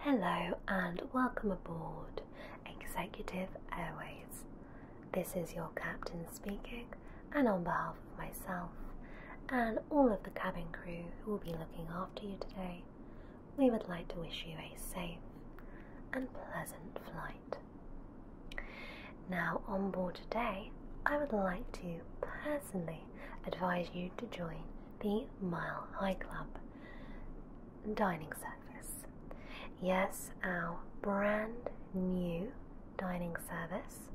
Hello and welcome aboard Executive Airways. This is your captain speaking, and on behalf of myself and all of the cabin crew who will be looking after you today, we would like to wish you a safe and pleasant flight. Now, on board today, I would like to personally advise you to join the Mile High Club dining service. Yes, our brand new dining service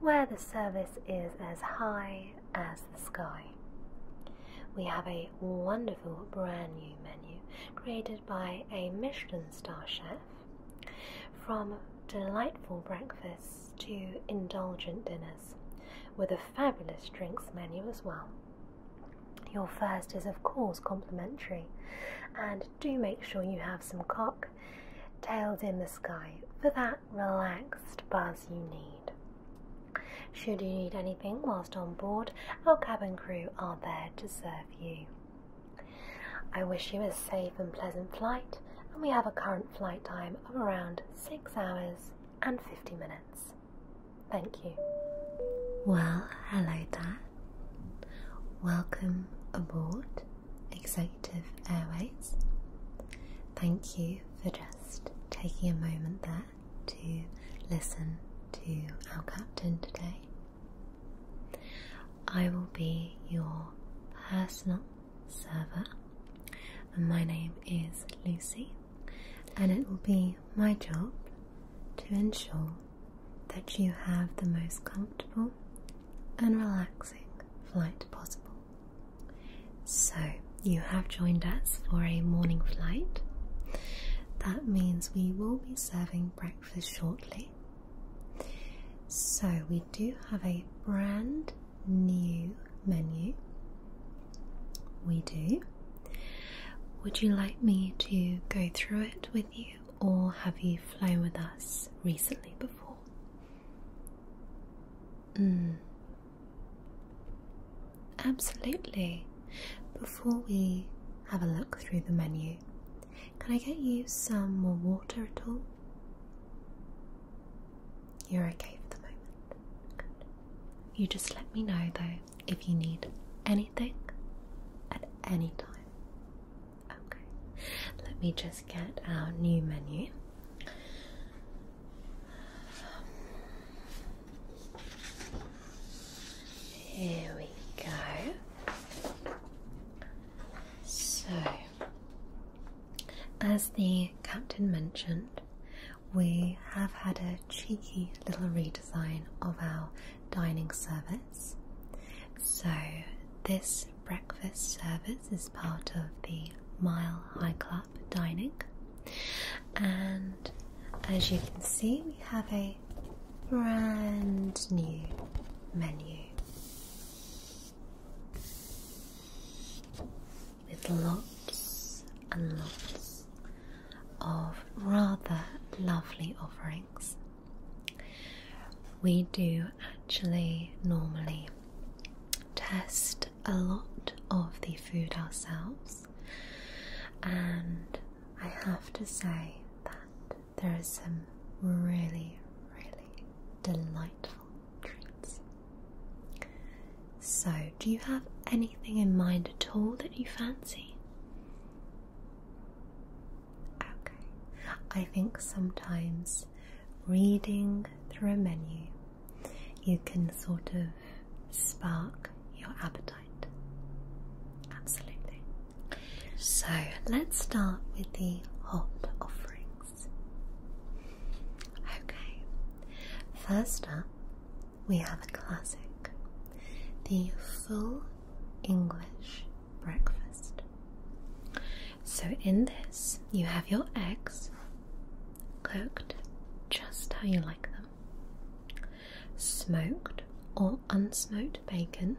where the service is as high as the sky. We have a wonderful brand new menu created by a Michelin star chef from delightful breakfasts to indulgent dinners with a fabulous drinks menu as well. Your first is, of course, complimentary, and do make sure you have some cock tails in the sky for that relaxed buzz you need. Should you need anything whilst on board, our cabin crew are there to serve you. I wish you a safe and pleasant flight, and we have a current flight time of around 6 hours and 50 minutes. Thank you. Well, hello there. Welcome aboard Executive Airways. Thank you for just taking a moment there to listen to our captain today. I will be your personal server, and my name is Lucy and it will be my job to ensure that you have the most comfortable and relaxing flight possible. So, you have joined us for a morning flight. That means we will be serving breakfast shortly. So, we do have a brand new menu we do. Would you like me to go through it with you, or have you flown with us recently before? Hmm. Absolutely. Before we have a look through the menu, can I get you some more water at all? You're okay for the moment. You just let me know though if you need anything at any time. Okay. Let me just get our new menu. Here we go. So, as the captain mentioned, we have had a cheeky little redesign of our dining service. So, this breakfast service is part of the Mile High Club dining, and as you can see, we have a brand new menu with lots and lots of rather lovely offerings. We do actually normally test a lot of the food ourselves, and I have to say that there are some really, really delightful treats. So, do you have anything in mind at all that you fancy? Okay, I think sometimes reading through a menu you can sort of spark your appetite. Absolutely. So, let's start with the hot offerings. Okay, first up we have a classic the full English breakfast. So, in this, you have your eggs cooked just how you like them, smoked or unsmoked bacon,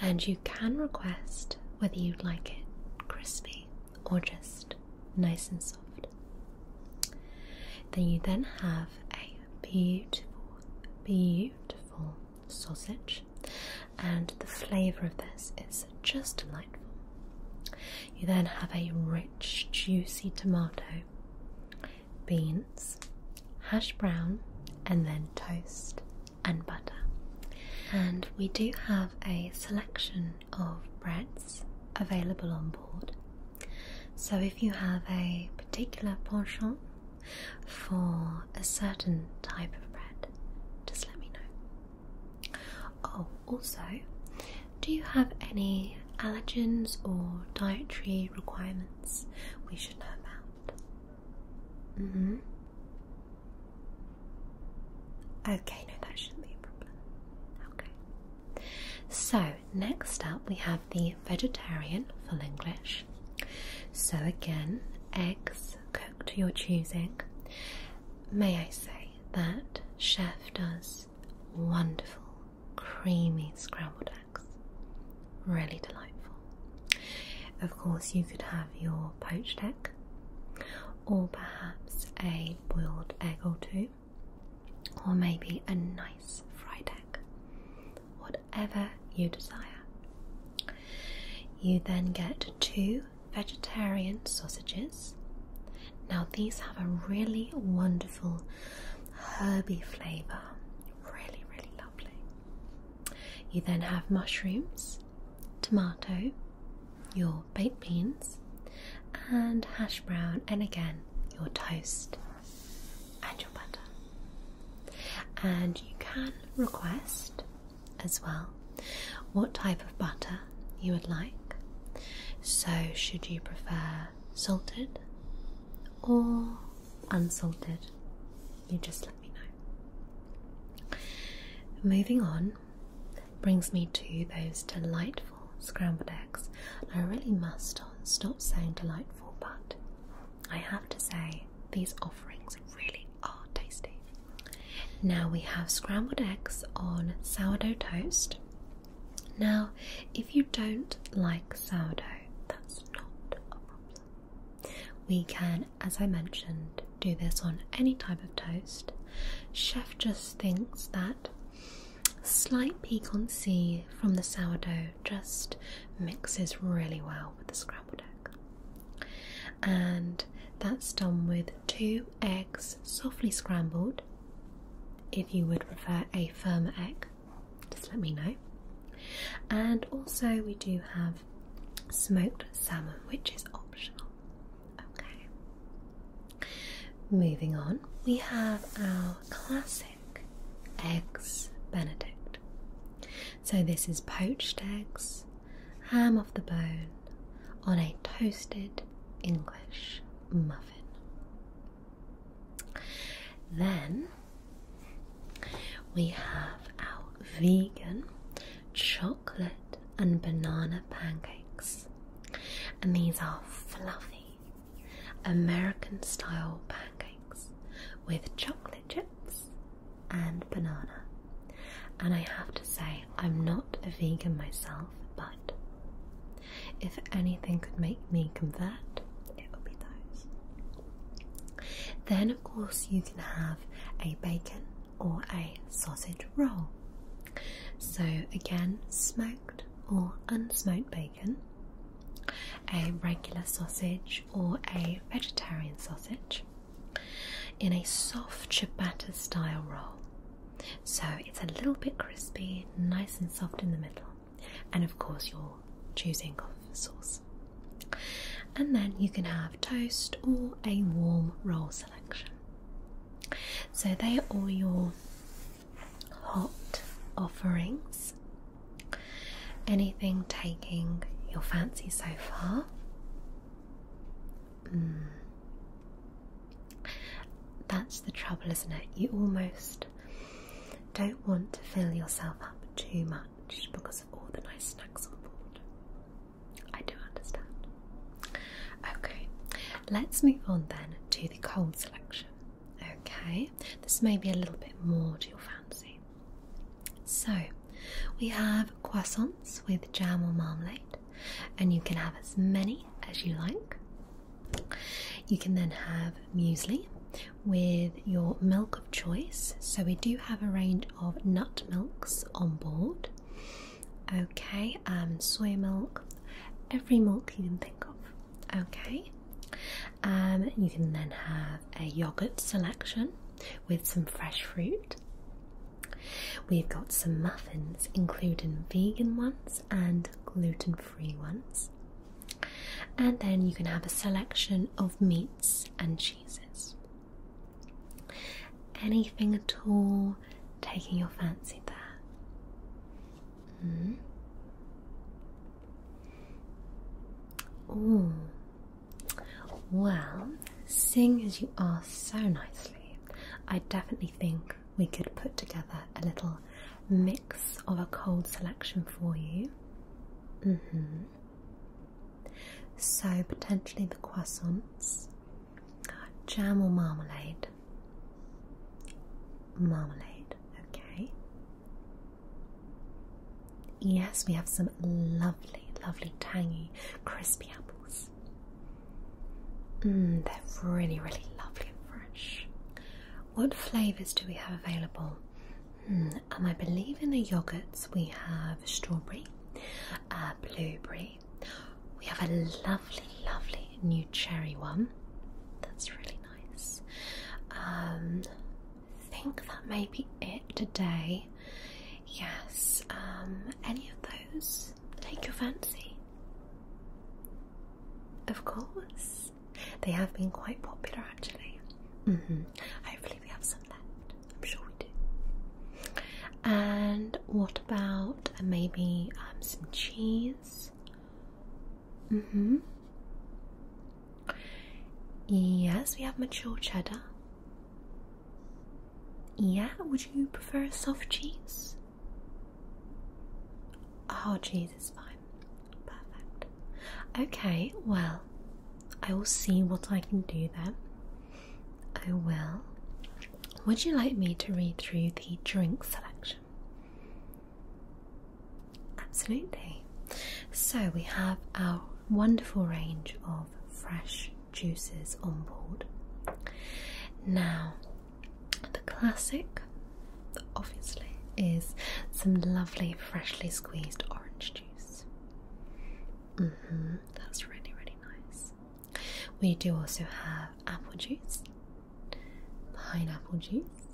and you can request whether you'd like it crispy or just nice and soft. Then you then have a beautiful, beautiful sausage, and the flavour of this is just delightful. You then have a rich, juicy tomato, beans, hash brown, and then toast and butter. And we do have a selection of breads available on board so, if you have a particular penchant for a certain type of bread, just let me know. Oh, also, do you have any allergens or dietary requirements we should know about? Mm hmm. Okay, no, that shouldn't be a problem. Okay. So, next up we have the vegetarian full English. So, again, eggs cooked to your choosing. May I say that Chef does wonderful, creamy scrambled eggs. Really delightful. Of course, you could have your poached egg or perhaps a boiled egg or two or maybe a nice fried egg, whatever you desire. You then get two vegetarian sausages. Now, these have a really wonderful herby flavour, really, really lovely. You then have mushrooms, tomato, your baked beans and hash brown, and again, your toast and your butter. And you can request as well what type of butter you would like. So, should you prefer salted or unsalted? You just let me know. Moving on brings me to those delightful scrambled eggs. I really must stop saying delightful, but I have to say these offerings really are tasty. Now we have scrambled eggs on sourdough toast. Now, if you don't like sourdough, that's not a problem. We can, as I mentioned, do this on any type of toast. Chef just thinks that Slight piquancy from the sourdough just mixes really well with the scrambled egg. And that's done with two eggs softly scrambled. If you would prefer a firmer egg, just let me know. And also, we do have smoked salmon, which is optional. Okay, Moving on, we have our classic eggs benedict. So, this is poached eggs, ham off the bone, on a toasted English muffin. Then we have our vegan chocolate and banana pancakes, and these are fluffy, American style pancakes with chocolate chips and banana. And I have to say, I'm not a vegan myself, but if anything could make me convert, it would be those. Then, of course, you can have a bacon or a sausage roll. So, again, smoked or unsmoked bacon a regular sausage, or a vegetarian sausage in a soft ciabatta style roll. So it's a little bit crispy, nice and soft in the middle, and of course, you're choosing of sauce. And then you can have toast or a warm roll selection. So, they are all your hot offerings, anything taking your fancy so far. Hmm. That's the trouble, isn't it? You almost don't want to fill yourself up too much because of all the nice snacks on board. I do understand. Okay, let's move on then to the cold selection. Okay, this may be a little bit more to your fancy. So, we have croissants with jam or marmalade, and you can have as many as you like. You can then have muesli with your milk of choice. So, we do have a range of nut milks on board. Okay, um, soy milk, every milk you can think of. Okay, um, you can then have a yogurt selection with some fresh fruit. We've got some muffins, including vegan ones and gluten free ones. And then you can have a selection of meats and cheeses. Anything at all taking your fancy there hmm. Oh. Well, seeing as you are so nicely, I definitely think we could put together a little mix of a cold selection for you. Mm hmm. So, potentially the croissants, jam or marmalade, marmalade. Okay. Yes, we have some lovely, lovely, tangy, crispy apples. Mmm, they're really, really lovely and fresh. What flavours do we have available? Hmm, um, I believe in the yogurts we have strawberry, uh, blueberry. We have a lovely, lovely new cherry one. That's really nice. I um, think that may be it today. Yes, um, any of those take your fancy? Of course, they have been quite popular actually. -hmm. Hopefully, we have some left. I'm sure we do. And what about maybe um, some cheese? Mm hmm. Yes, we have mature cheddar. Yeah, would you prefer a soft cheese? Hard oh, cheese is fine. Perfect. Okay, well, I will see what I can do then. I will. Would you like me to read through the drink selection? Absolutely. So we have our wonderful range of fresh juices on board. Now, the classic, obviously, is some lovely freshly squeezed orange juice. -hmm, that's really, really nice. We do also have apple juice pineapple juice,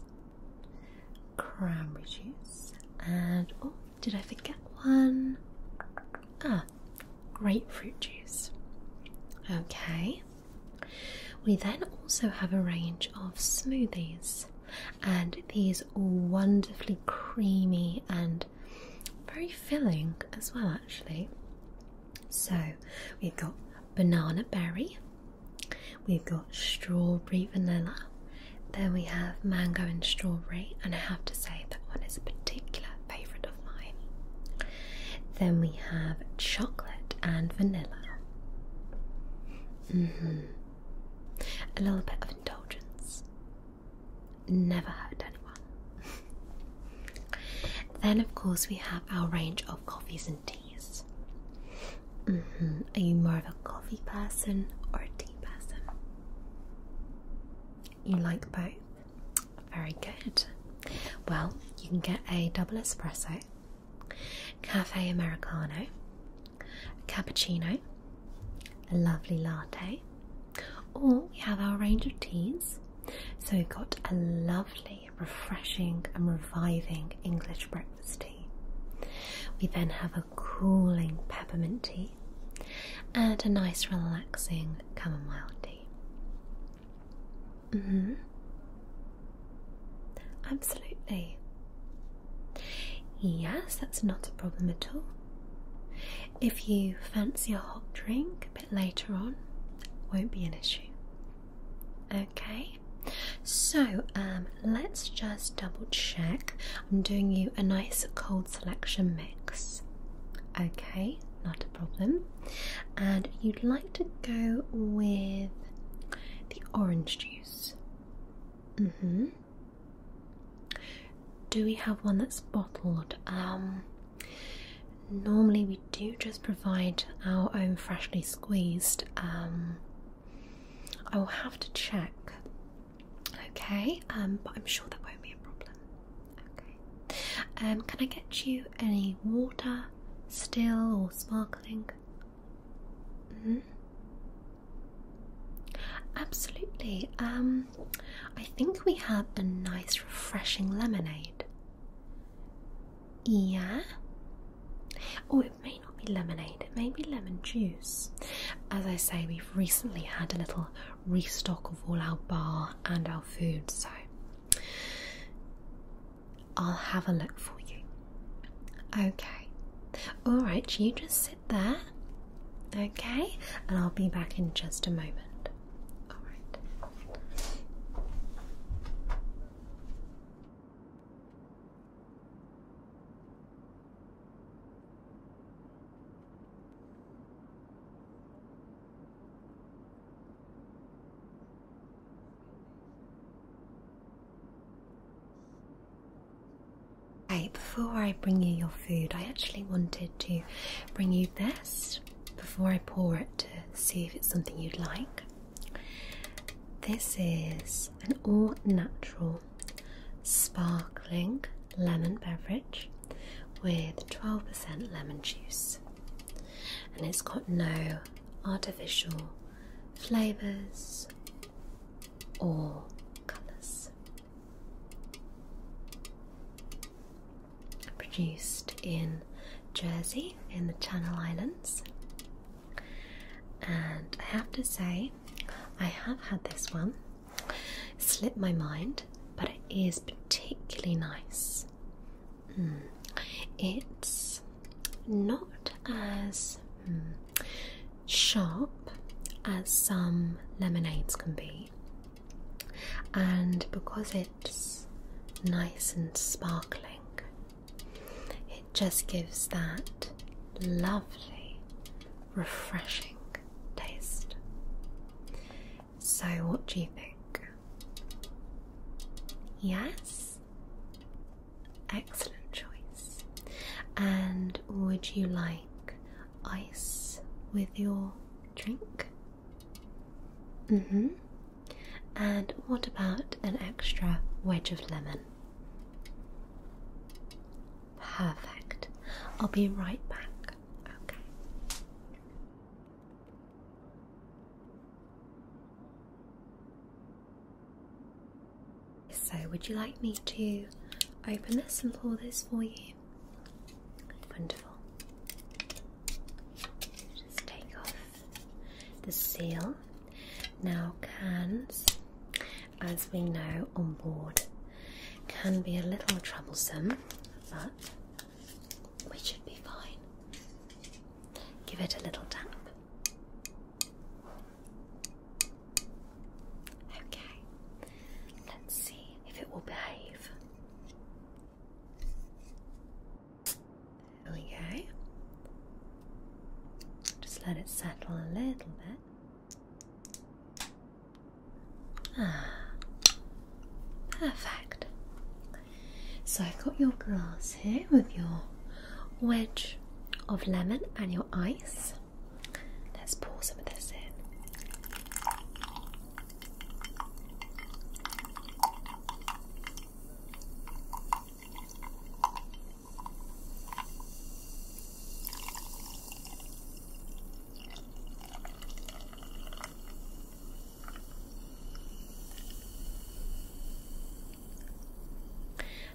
cranberry juice, and oh, did I forget one? Ah, grapefruit juice. Okay. We then also have a range of smoothies, and these are wonderfully creamy and very filling as well, actually. So we've got banana berry, We've got strawberry vanilla. Then we have mango and strawberry, and I have to say that one is a particular favourite of mine. Then we have chocolate and vanilla. Mm-hmm. A little bit of indulgence. Never hurt anyone. then, of course, we have our range of coffees and and teas. Mm-hmm. Are you more of a coffee person or a tea person? You like both? Very good. Well, you can get a double espresso, cafe americano, a cappuccino, a lovely latte, or we have our range of teas. So we've got a lovely lovely, refreshing, and reviving English breakfast tea. We then have a cooling peppermint tea and a nice, relaxing chamomile tea. Mm-hmm. Absolutely. Yes, that's not a problem at all. If you fancy a hot drink a bit later on, won't be an issue. Okay? so um, let's just double check. I'm doing you a nice cold selection mix. Okay, not a problem. And you'd like to go with the orange juice. Mm-hmm. Do we have one that's bottled? Um, normally we do just provide our own freshly squeezed. Um, I will have to check. Okay, um, but I'm sure that won't be a problem. Okay, um, can I get you any water, still or sparkling? -hmm. Absolutely. Um, I think we have a nice, refreshing lemonade. Yeah. Oh, it may not be lemonade, it may be lemon juice. As I say, we've recently had a little restock of all our bar and our food, so I'll have a look for you. Okay. Alright, you just sit there. Okay, and I'll be back in just a moment. All right before I bring you your food, I actually wanted to bring you this before I pour it to see if it's something you'd like. This is an all natural sparkling lemon beverage with 12% lemon juice, and it's got no artificial flavours or colours. Produced in Jersey in the Channel Islands and I have to say, I have had this one slip my mind, but it is particularly nice. Hmm. It's not as hmm, sharp as some lemonades can be, and because it's nice and sparkling, it just gives that lovely, refreshing taste. So, what do you think? Yes? Excellent choice. And would you like ice with your drink? Mm hmm. And what about an extra wedge of lemon? Perfect. I'll be right back. Okay. So, would you like me to open this and pour this for you? Wonderful. Just take off the seal. Now, cans, as we know on board, can be a little troublesome, but we should be fine. Give it a little tap. Okay, let's see if it will behave. There we go. Just let it settle a little bit. Ah, perfect. So I've got your glass here with your wedge of lemon and your ice. Let's pour some of this in.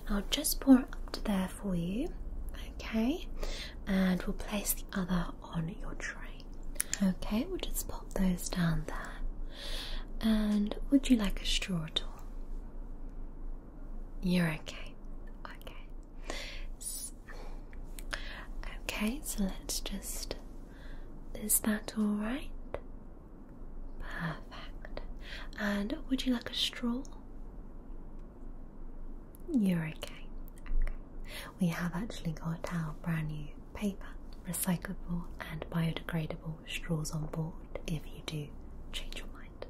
I'll just pour up to there for you, okay, and we'll place the other on your tray. Okay, we'll just pop those down there. And would you like a straw at all? You're okay. Okay. So, okay, so let's just. Is that alright? Perfect. And would you like a straw? You're okay. okay. We have actually got our brand new paper, recyclable and biodegradable straws on board if you do change your mind.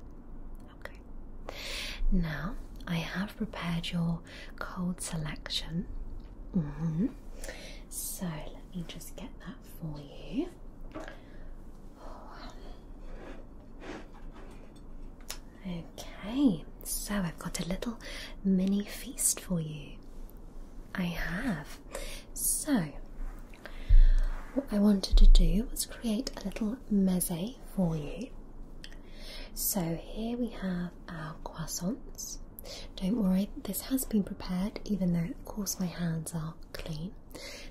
Okay. Now I have prepared your cold selection. Mm-hmm. So let me just get that for you. Okay, so I've got a little mini feast for you. I have. So what I wanted to do was create a little meze for you. So here we have our croissants. Don't worry, this has been prepared, even though of course my hands are clean.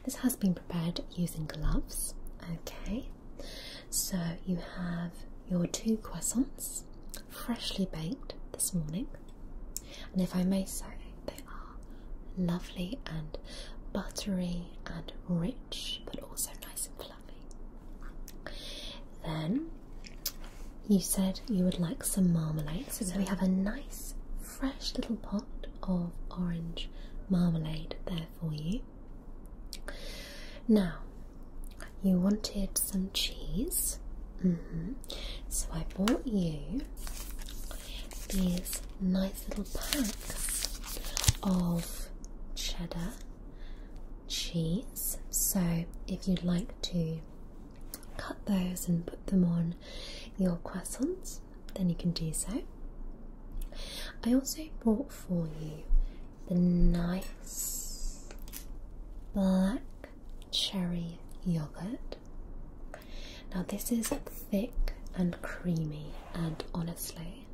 This has been prepared using gloves. Okay, so you have your two croissants, freshly baked this morning. And if I may say, they are lovely and buttery and rich, but also nice and fluffy. Then you said you would like some marmalade, so, we have a nice fresh little pot of orange marmalade there for you. Now, you wanted some cheese, mm-hmm. so I bought you these nice little packs of cheddar cheese. So, if you'd like to cut those and put them on your croissants, then you can do so. I also brought for you the nice black cherry yogurt now, this is thick and creamy, and honestly,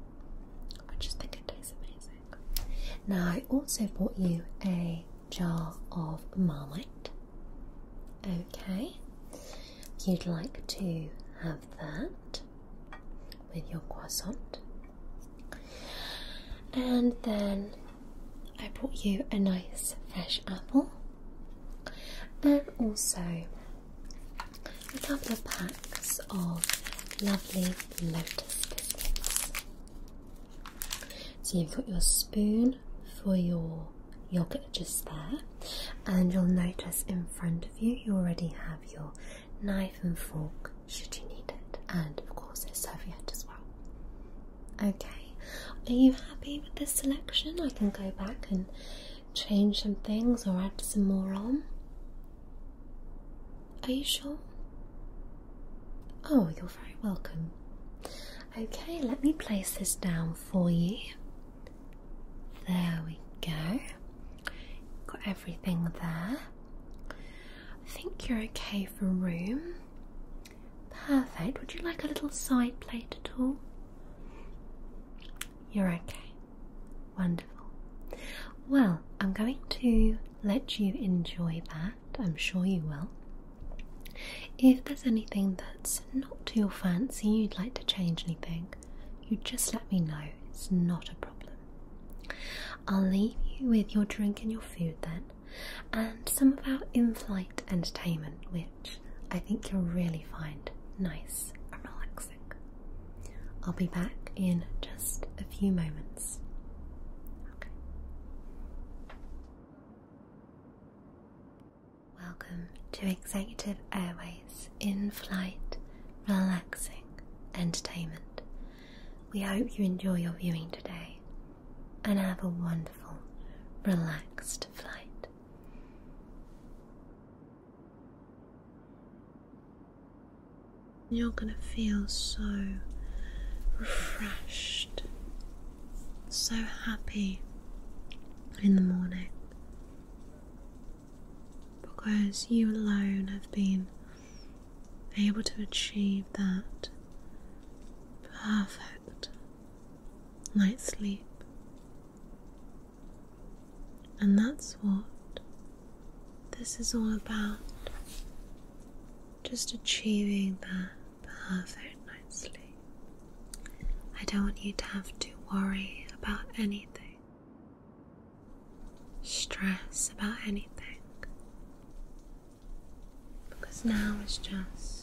I just think it tastes amazing. Now, I also bought you a jar of marmite. Okay, you'd like to have that with your croissant. And then I brought you a nice fresh apple and also a couple of packs of lovely lotus biscuits. So you've got your spoon for your yogurt just there, and you'll notice in front of you you already have your knife and fork should you need it, and of course a serviette as well. Okay, are you happy with this selection? I can go back and change some things or add some more on? Are you sure? Oh, you're very welcome. Okay, let me place this down for you. There we go. Got everything there. I think you're okay for room. Perfect. Would you like a little side plate at all? You're okay. Wonderful. Well, I'm going to let you enjoy that. I'm sure you will. If there's anything that's not to your fancy, you'd like to change anything, you just let me know. It's not a problem. I'll leave you with your drink and your food then, and some of our in flight entertainment, which which I think you'll really find nice and relaxing. I'll be back in just a few moments. Okay. Welcome to Executive Airways in flight, relaxing entertainment. We hope you enjoy your viewing today and have a wonderful, relaxed flight. You're going to feel so refreshed, so happy in the morning because you alone have been able to achieve that perfect night's sleep. And that's what this is all about. Just achieving that perfect night's sleep. I don't want you to have to worry about anything, stress about anything, because now it's just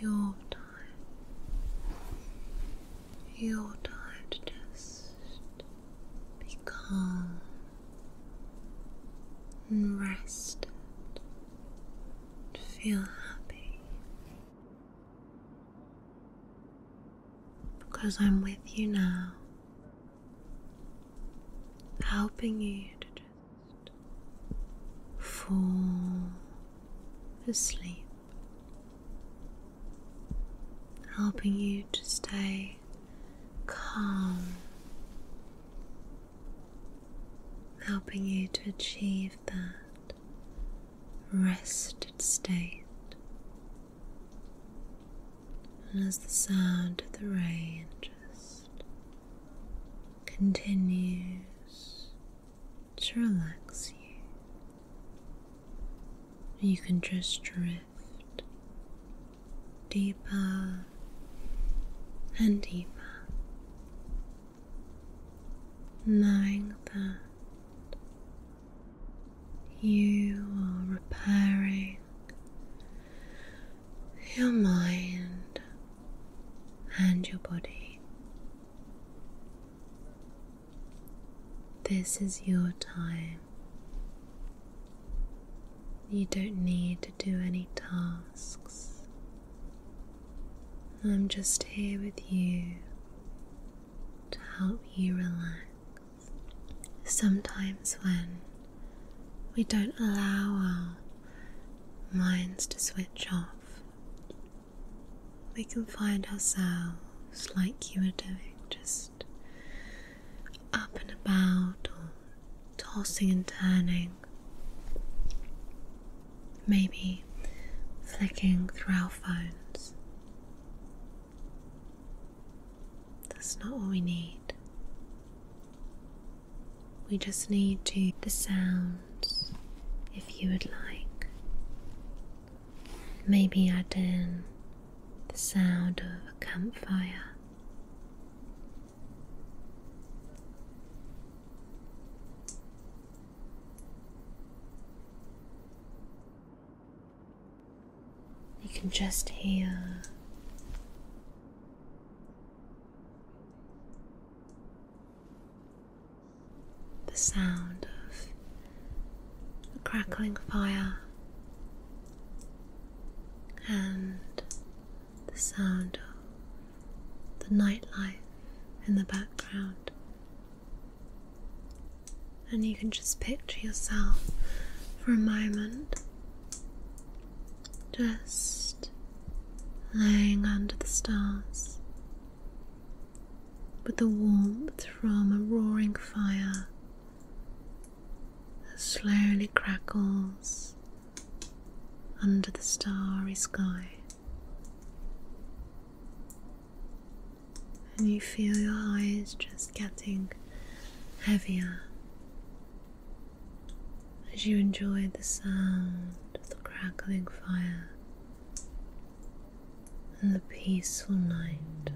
your time, your time to just be calm and rested, to feel happy because I'm with you now helping you to just fall asleep, helping you to stay calm, helping you to achieve that rested state. And as the sound of the rain just continues to relax you. You can just drift deeper and deeper, knowing that you are repairing your mind and your body. This is your time. You don't need to do any tasks. I'm just here with you to help you relax. Sometimes, when we don't allow our minds to switch off. We can find ourselves like you are doing, just up and about or tossing and turning. Maybe flicking through our phones. That's not what we need. We just need to the sounds if you would like. Maybe add in the sound of a campfire. You can just hear the sound of a crackling fire and the sound of the nightlife in the background. And you can just picture yourself for a moment just lying under the stars with the warmth from a roaring fire that slowly crackles under the starry sky. And you feel your eyes just getting heavier as you enjoy the sound of the crackling fire and the peaceful night.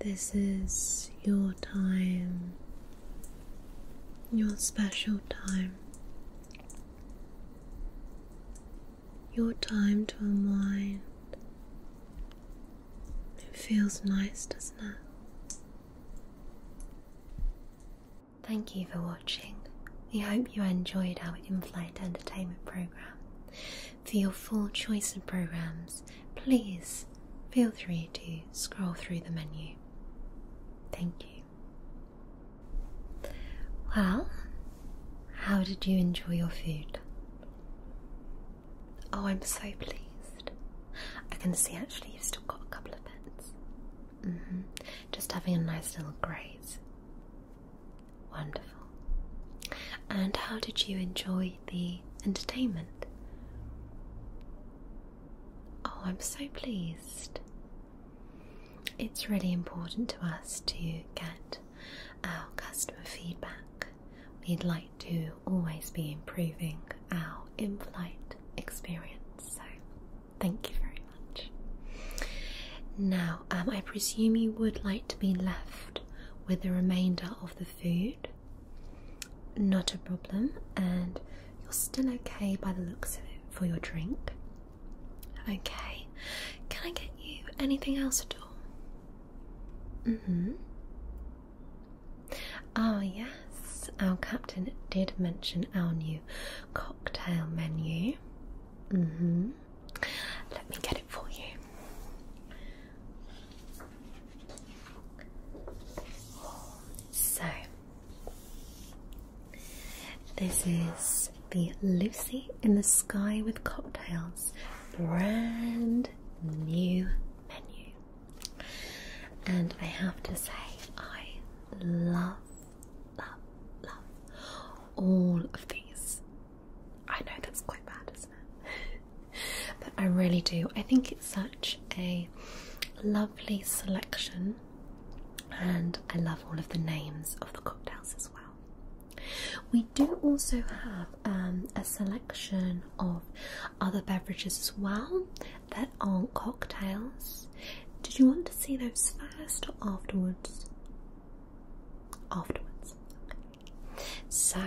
This is your time, your special time, your time to unwind. It feels nice, doesn't it? Thank you for watching. We hope you enjoyed our in flight entertainment program. For your full choice of programs, please feel free to scroll through the menu. Thank you. Well, how did you enjoy your food? Oh, I'm so pleased. I can see actually you've still got a couple of bits. Mm -hmm. Just having a nice little graze. Wonderful. And how did you enjoy the entertainment? Oh, I'm so pleased. It's really important to us to get our customer feedback we'd like to always be improving our in flight experience. So, thank you very much. Now, um, I presume you would like to be left with the remainder of the food. Not a problem, and you're still okay by the looks of it for your drink. Okay, can I get you anything else at all? Mm hmm. Ah, yes, our captain did mention our new cocktail menu. Mm-hmm. Let me get it for you. So, this is the Lucy in the Sky with Cocktails brand new menu. And I have to say, I love, love, love all of these. I know that's quite bad, isn't it? but I really do. I think it's such a lovely selection, and I love all of the names of the cocktails as well. We do also have um, a selection of other beverages as well, that aren't cocktails. Did you want to see those first or afterwards? Afterwards. So,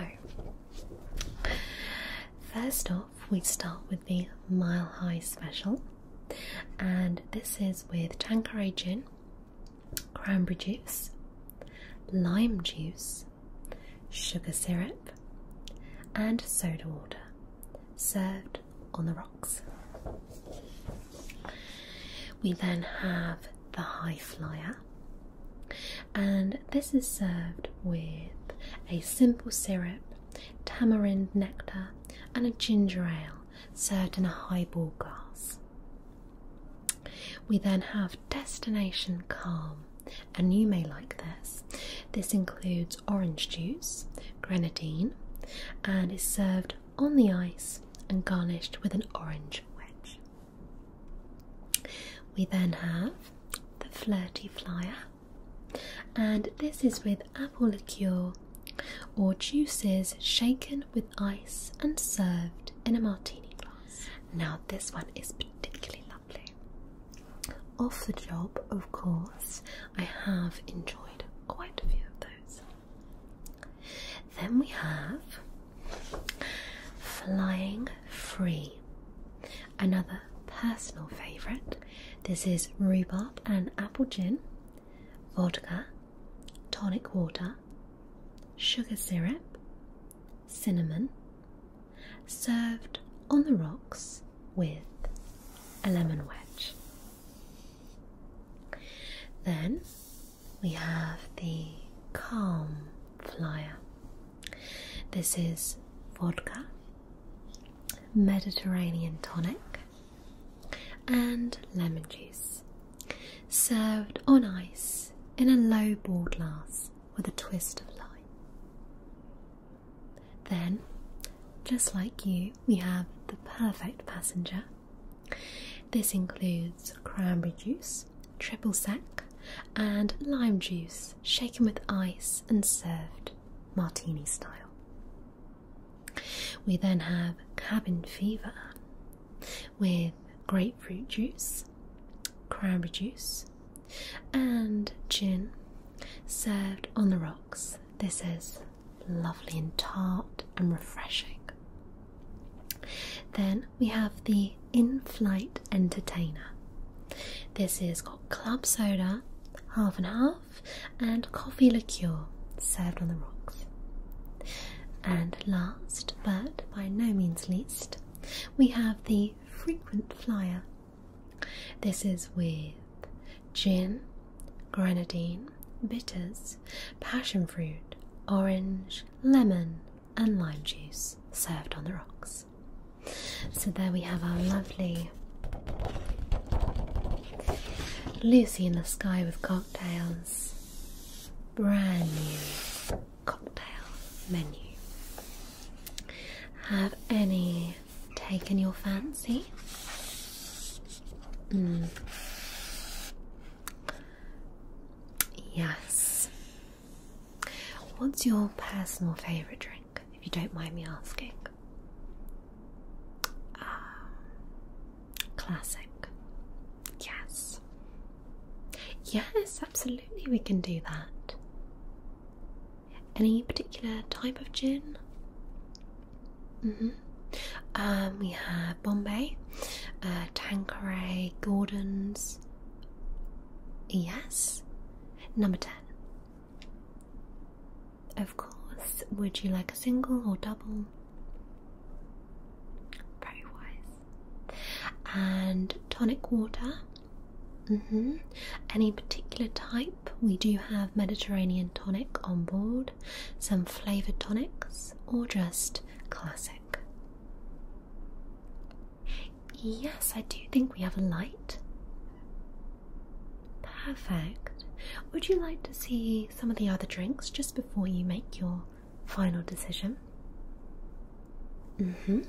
first off, we start with the Mile High Special, and this is with Tanqueray Gin, cranberry juice, lime juice, sugar syrup, and soda water served on the rocks. We then have the high flyer, and this is served with a simple syrup, tamarind nectar, and a ginger ale served in a highball glass. We then have Destination Calm, and you may like this. This includes orange juice, grenadine, and is served on the ice and garnished with an orange wedge. We then have the Flirty Flyer, and this is with apple liqueur or juices shaken with ice and served in a martini glass. Now, this one is particularly off the job, of course, I have enjoyed quite a few of those. Then we have Flying Free, another personal favourite. This is rhubarb and apple gin, vodka, tonic water, sugar syrup, cinnamon, served on the rocks with a lemon wedge. Then we have the calm flyer. This is vodka, Mediterranean tonic, and lemon juice, served on ice in a low ball glass with a twist of lime. Then, just like you, we have the perfect passenger. This includes cranberry juice, triple sec, and lime juice, shaken with ice and served martini style. We then have cabin fever with grapefruit juice, cranberry juice, and gin served on the rocks. This is lovely and tart and refreshing. Then we have the in flight entertainer. This is got club soda, half and half, and coffee liqueur served on the rocks. And last but by no means least, we have the frequent flyer this is with gin, grenadine, bitters, passion fruit, orange, lemon, and lime juice served on the rocks. So there we have our lovely Lucy in the Sky with Cocktails brand new cocktail menu. Have any taken your fancy? Hmm. Yes. What's your personal favourite drink, if you don't mind me asking? Ah, classic. Yes. Yes, absolutely, we can do that. Any particular type of gin? Mm-hmm. Um, we have Bombay, uh, Tanqueray, Gordon's. Yes. Number 10. Of course. Would you like a single or double? Very wise. And tonic water. Mm-hmm. Any particular type? We do have Mediterranean tonic on board, some flavoured tonics, or just classic. Yes, I do think we have a light. Perfect. Would you like to see some of the other drinks just before you make your final decision? Mm hmm.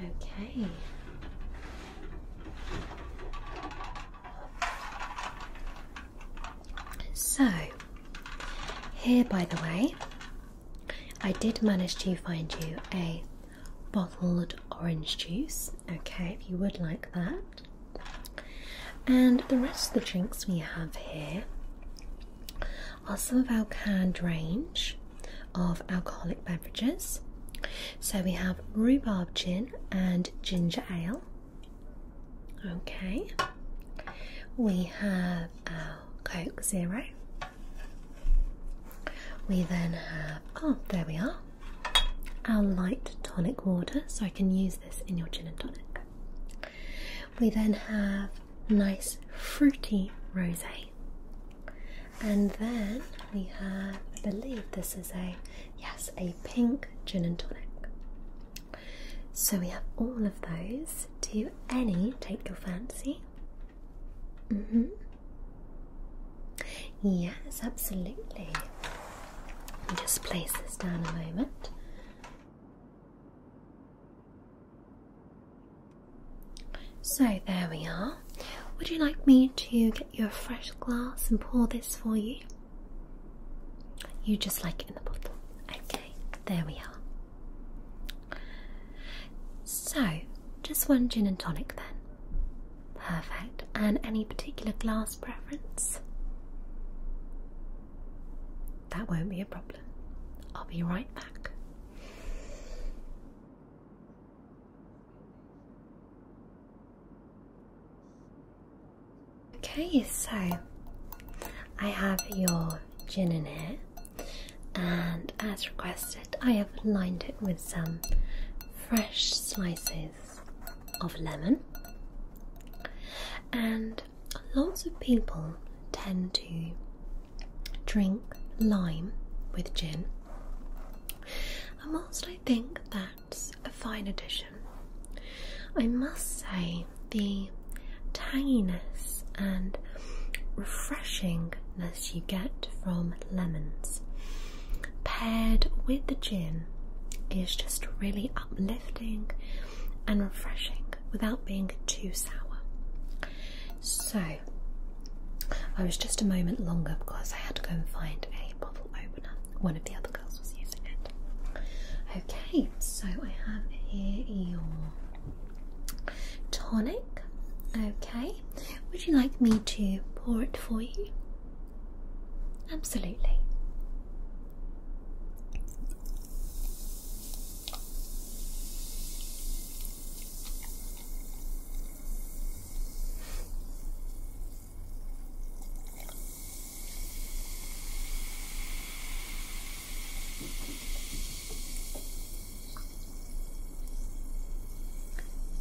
Okay. So, here by the way, I did manage to find you a bottled orange juice, okay, if you would like that. And the rest of the drinks we have here are some of our canned range of alcoholic beverages. So we have rhubarb gin and ginger ale. Okay, we have our Coke Zero. We then have, oh, there we are, our light tonic water. So I can use this in your gin and tonic. We then have nice fruity rosé. And then we have, I believe this is a, yes, a pink gin and tonic. So we have all of those. Do any take your fancy? Mm-hmm. Yes, absolutely. Just place this down a moment. So there we are. Would you like me to get you a fresh glass and pour this for you? You just like it in the bottle. Okay, there we are. So, just one gin and tonic then. Perfect. And any particular glass preference? That won't be a problem. I'll be right back. Okay, so I have your gin in here, and as requested, I have lined it with some fresh slices of lemon. And lots of people tend to drink lime with gin. And whilst I think that's a fine addition, I must say the tanginess and refreshingness you get from lemons paired with the gin is just really uplifting and refreshing without being too sour. So I was just a moment longer because I had to go and find a bottle opener. One of the other girls was using it. Okay, so I have here your tonic. Okay, would you like me to pour it for you? Absolutely.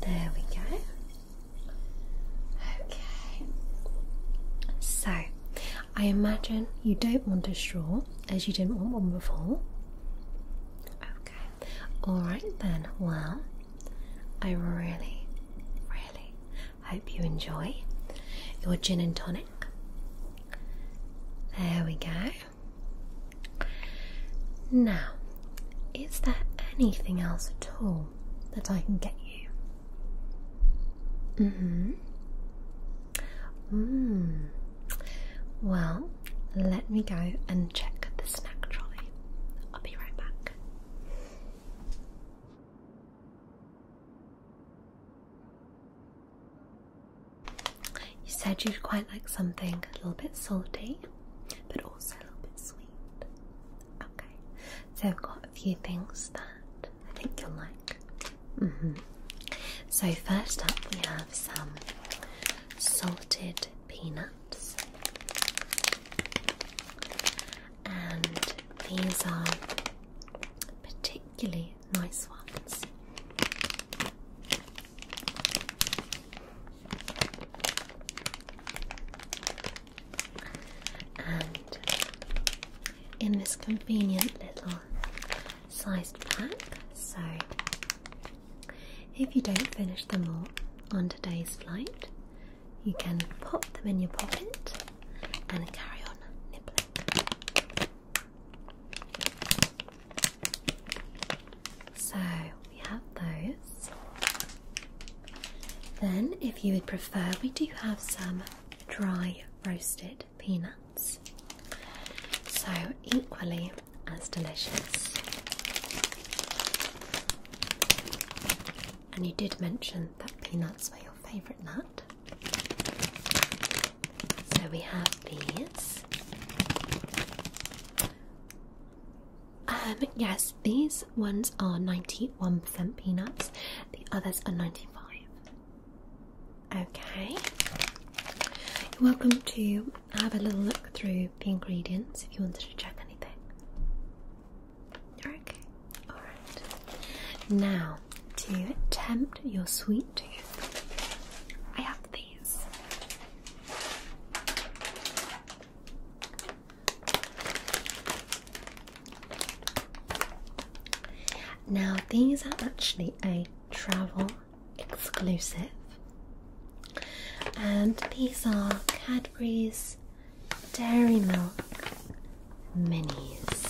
There we go. Okay. So, I imagine you don't want a straw as you didn't want one before. Okay, alright then. Well, I really, really hope you enjoy your gin and tonic. There we go. Now, is there anything else at all that I can get you? hmm. Mmm. Well, let me go and check the snack trolley. I'll be right back. You said you'd quite like something a little bit salty, but also a little bit sweet. Okay, so I've got a few things that I think you'll like. Mm-hmm. So, first up, we have some salted peanuts. And these are particularly nice ones. And in this convenient little sized pack, so if you don't finish them all on today's flight, you can pop them in your pocket and carry on nibbling. So we have those. Then, if you would prefer, we do have some dry roasted peanuts. So, equally, same as delicious. And you did mention that peanuts were your favourite nut. So we have these. Um, yes, these ones are 91% peanuts, the others are 95. Okay. You're welcome to have a little look through the ingredients if you wanted to check anything. You're okay. Alright. Now, to tempt your sweet tooth, I have these. Now, these are actually a travel exclusive. And these are Cadbury's Dairy Milk Minis.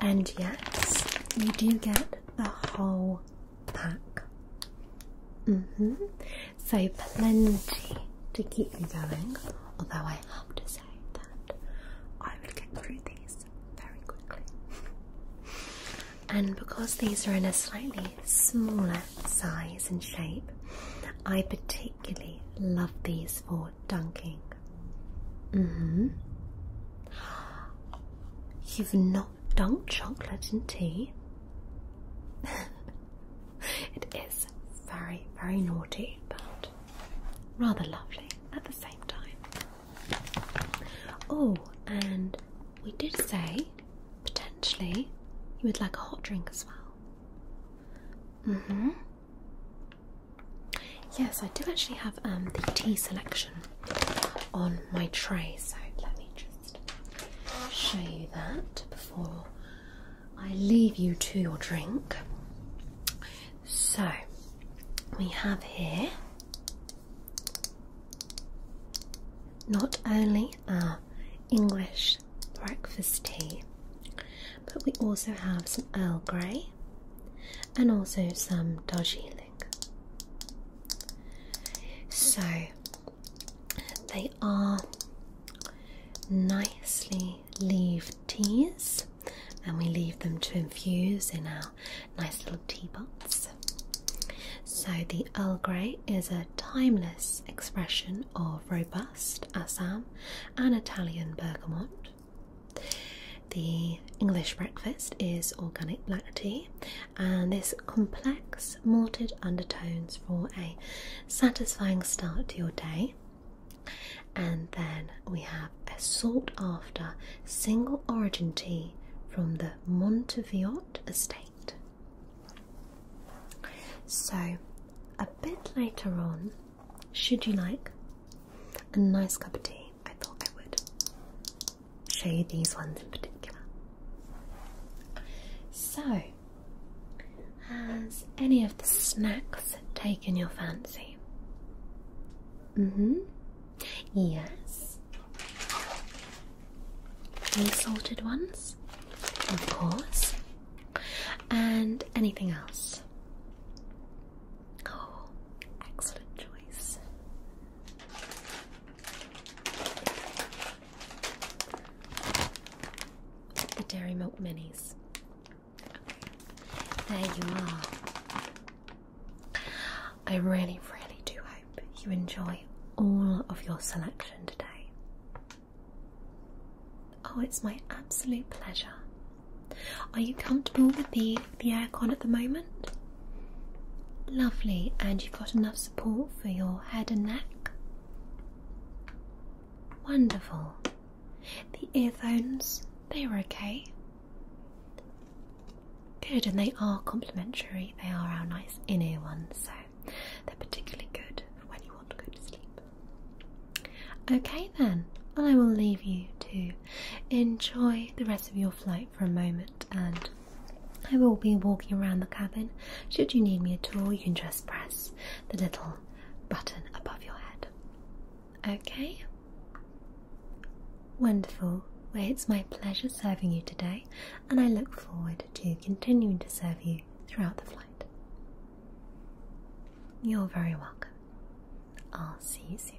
And yes, you do get the whole pack. Mm-hmm. So plenty to keep you going. Although I have to say that I would get through these very quickly. And because these are in a slightly smaller size and shape, I particularly love these for dunking. Mm-hmm. You've not dunked chocolate in tea. it is very, very naughty, but rather lovely at the same time. Oh, and we did say potentially you would like a hot drink as well. Mm-hmm. Yes, I do actually have um, the tea selection on my tray, so let me just show you that before I leave you to your drink. So we have here not only our English breakfast tea, but we also have some Earl Grey and also some dodgy Darjeeling. So they are nicely leaved teas, and we leave them to infuse in our nice little teapots. So, the Earl Grey is a timeless expression of robust Assam and Italian bergamot. The English breakfast is organic black tea, and this complex malted undertones for a satisfying start to your day. And then we have a sought after single origin tea from the Monteviot estate. So, a bit later on, should you like a nice cup of tea, I thought I would show you these ones in particular. So, has any of the snacks taken your fancy? Mm hmm. Yes. the salted ones? Of course. And anything else? Oh, excellent choice. The Dairy Milk Minis. There you are. I really, really do hope you enjoy all of your selection today. Oh, it's my absolute pleasure. Are you comfortable with the, the aircon at the moment? Lovely, and you've got enough support for your head and neck? Wonderful. The earphones, they were okay. Good, and they are complimentary. They are our nice in-ear ones, so they're particularly good when you want to go to sleep. Okay then, I will leave you to enjoy the rest of your flight for a moment and I will be walking around the cabin. Should you need me at all, you can just press the little button above your head. Okay? Wonderful. Well, it's my pleasure serving you today, and I look forward to continuing to serve you throughout the flight. You're very welcome. I'll see you soon.